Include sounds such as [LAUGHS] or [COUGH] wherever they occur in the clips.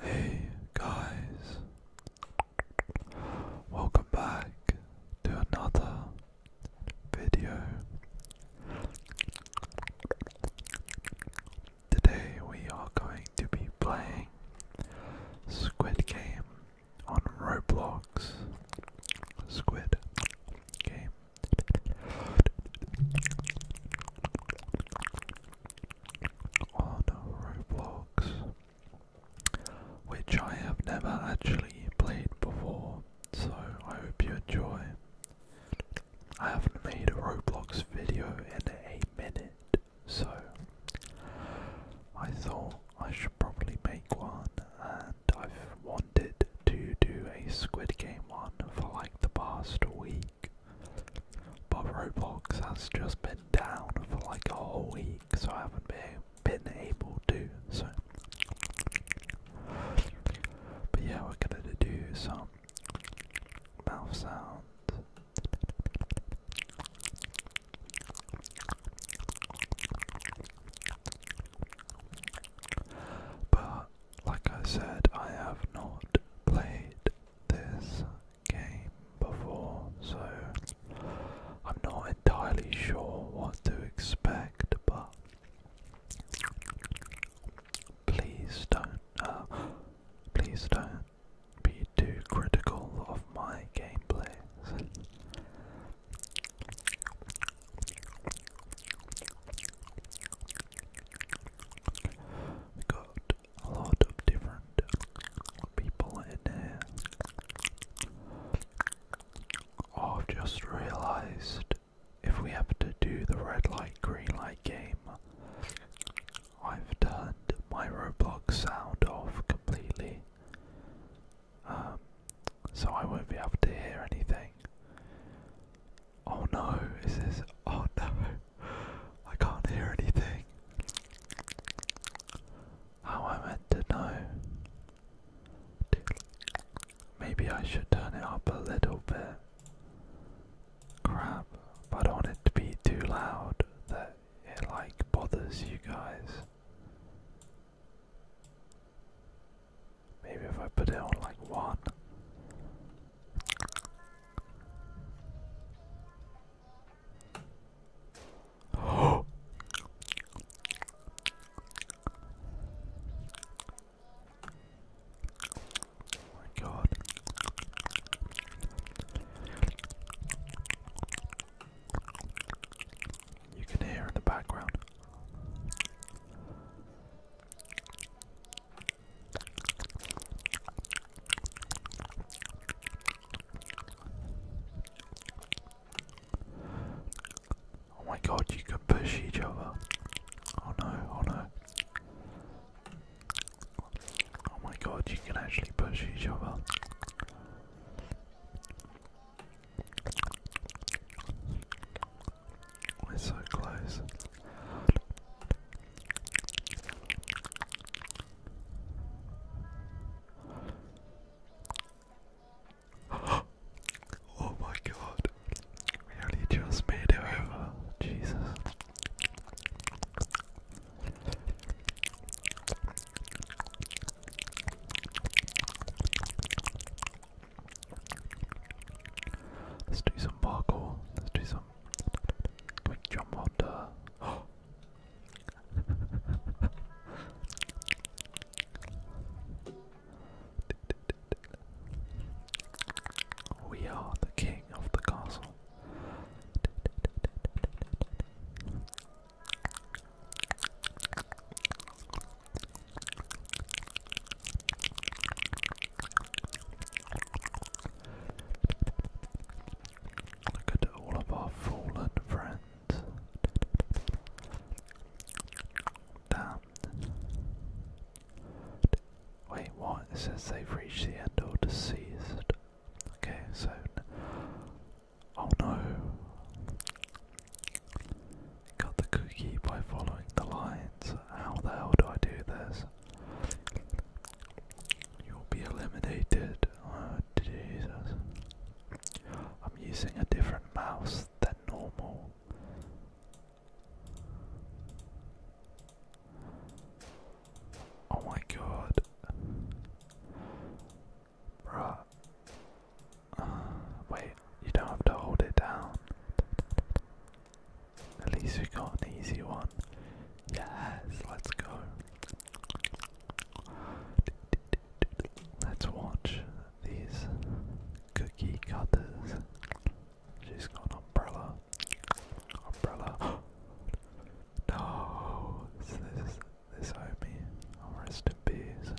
Hey guys, welcome back to another video. Today we are going to be playing Squid Game on Roblox. Squid Game on Roblox, which I have never actually played before, so I hope you enjoy. I haven't made a Roblox video in a minute, so I thought I should probably make one, and I've wanted to do a Squid Game one for like the past week. But Roblox has just been down for like a whole week, so I haven't been, been able to. So, but yeah, we're gonna do some mouth sounds. But like I said, I have not played this game before, so I'm not entirely sure what to expect, but please don't, uh, please don't be too critical of my gameplay. We a lot of different people in there. I've just realized if we have to do the red light, green light game, I've turned my Roblox sound off completely. Um, so I won't be able to hear anything. Oh no, is this? Oh no, I can't hear anything. How am I meant to know? Maybe I should turn it up a little bit. Crap, but I don't want it to be too loud that it like bothers you guys. Maybe if I put it on like one. Oh. my god. You can hear in the background. Oh my god, you can push each other. Oh no, oh no. Oh my god, you can actually push each other. We're so close. [GASPS] oh my god. We only just made it over. Jesus. Let's do some parkour. Let's do some [GASPS] we are the king of the castle. Look at all of our fallen friends. Damn. Wait, what? It says they've reached the end or deceased. Okay, so. Oh no! Cut the cookie by following the lines. How the hell do I do this? You'll be eliminated. Oh, Jesus. I'm using a different mouse than normal. Oh my god. Bruh. Uh, wait, you don't have to hold it down. At least we got an easy one. Yes, let's go. Let's watch these cookie cutters. She's got an umbrella. Umbrella. [GASPS] no, so this is this homie. i oh, rest in peace.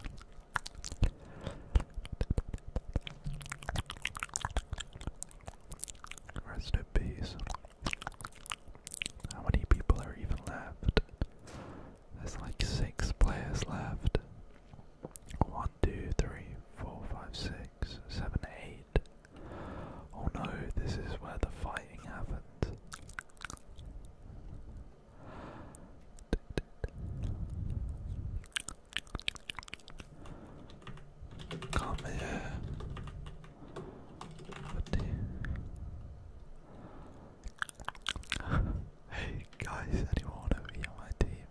Rest in peace. How many people are even left? There's like six players left. One, two, three, four, five, six, seven, eight. Oh no, this is where the fighting happens. Kom igen. [LAUGHS] hey guys, anyone want to my team?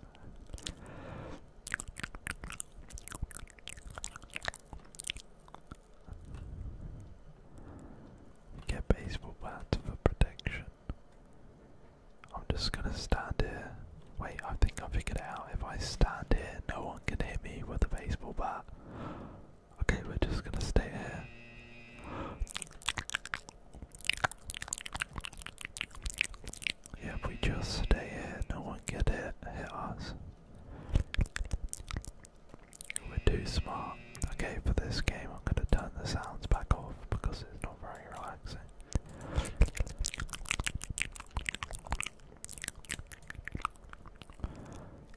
Get baseball bats for protection. I'm just gonna stand here. Wait, I think I figured it out. If I stand here, no one can hit me with a baseball bat. Okay, we're just gonna stay here. Yeah, if we just stay here, no one can hit, hit us. We're too small. Okay, for this game, I'm gonna turn the sounds back off because it's not very relaxing.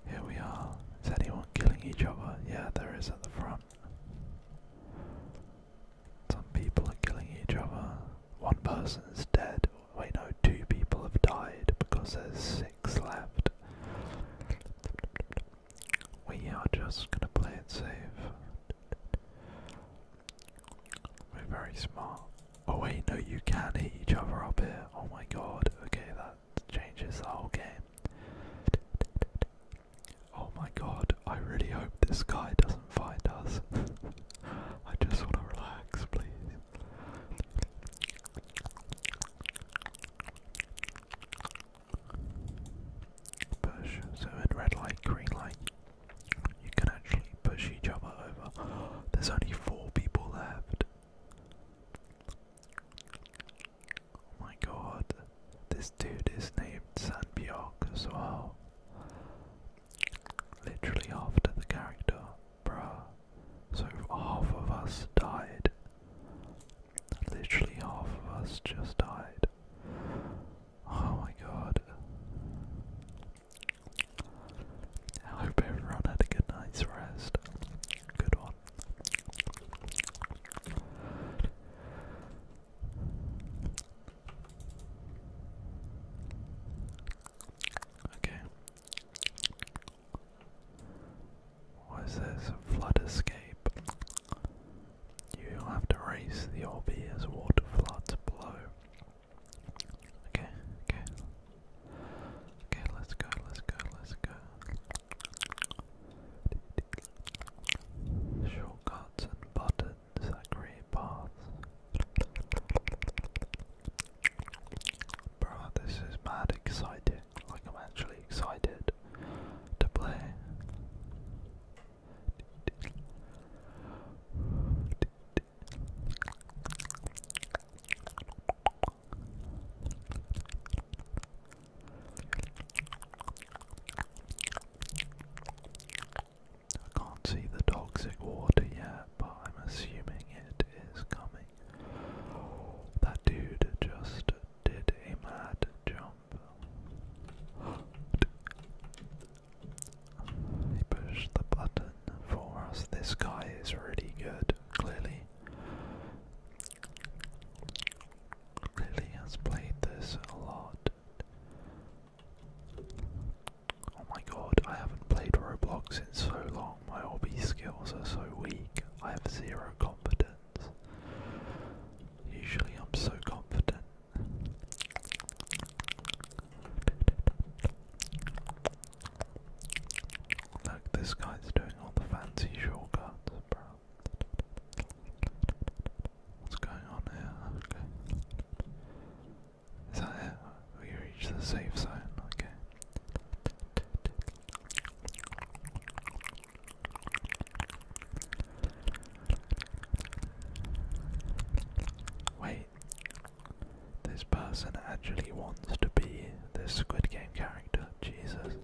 Here we are. Is anyone killing each other? Yeah, there is at the front. Some people are killing each other. One person's dead. We know two people have died because there's six left. We are just gonna play it safe. We're very smart. Oh wait, no, you can hit each other up here. Oh my god. Okay, that changes the whole game. Oh my god, I really hope this guy doesn't find us. [LAUGHS] I just want to relax, please. Push, so red light, green light. You can actually push each other over. There's only four people left. Oh my god. This dude is named Sanbiok as well. Literally after the character, bruh. So half of us died. Literally half of us just died. Oh my god. I hope everyone had a good night's rest. Good one. Okay. What is this? Flood escape. You'll have to race the obvious water floods below. Okay, okay. Okay, let's go, let's go, let's go. Shortcuts and buttons that create paths. Bro, this is mad exciting. Like, I'm actually excited to play. I can't see the toxic water yet, but I'm assuming it is coming. That dude just did a mad jump. He pushed the button for us. This guy is really good, clearly. Clearly has played this a lot. Oh my god, I haven't played Roblox in so long. My hobby skills are so weak. I have zero confidence. Usually I'm so confident Look, this guy's doing all the fancy shortcuts, bro. What's going on here? Okay. Is that it? We reached the safe zone, okay. Wait, this person actually wants to be this Squid Game character. Jesus.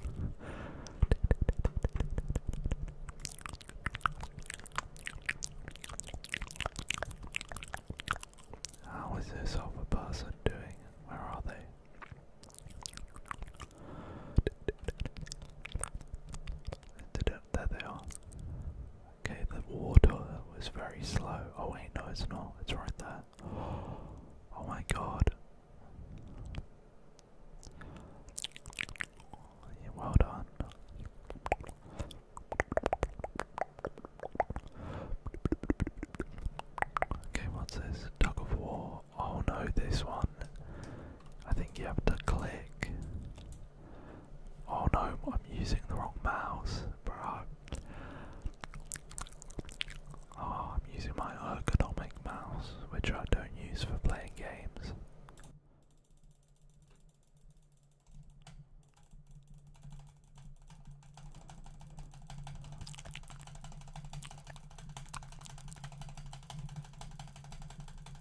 How is this other person doing? Where are they? there they are. Okay, the water was very slow. Oh wait, no, it's not. It's right there. Oh my god. Yeah, well done. Okay, what's this? Tug of war. Oh no, this one. I think you have to click. Oh no, I'm using the wrong mouse, bro. Oh, ah, I'm using my ergonomic mouse, which I don't use for playing games.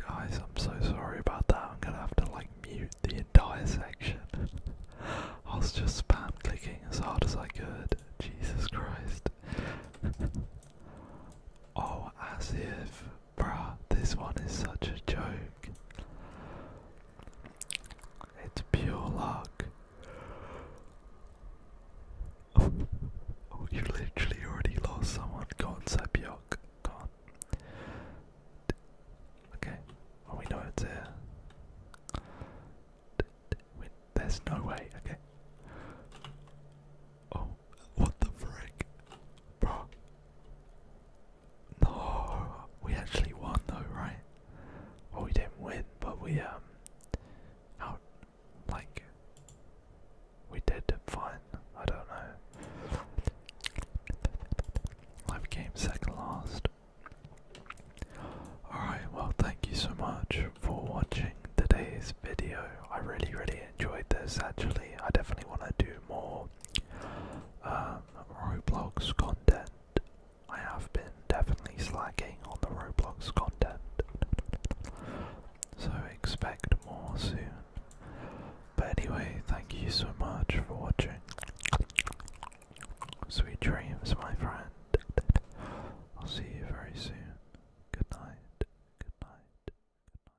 Guys, I'm so sorry about that. I'm gonna have to like mute the entire section. I was just spam clicking as hard as I could. Jesus Christ. [LAUGHS] oh, as if Bruh, this one is such a joke. It's pure luck. Oh, oh you literally already lost someone. Go on, Sapiok. Go on. D okay, oh, we know it's there. there's no way, okay. Oh, what the frick? Bro, no, we actually won though, right? Well, we didn't win, but we um, out like we did fine. I don't know. I became second last. Alright, well, thank you so much for watching today's video. I really, really enjoyed this actually. I definitely want to do more um, Roblox content. I have been definitely slacking on the Roblox content. So expect more soon. But anyway, thank you so much for watching. Sweet dreams, my friend. I'll see you very soon. Good night. Good night. Good night.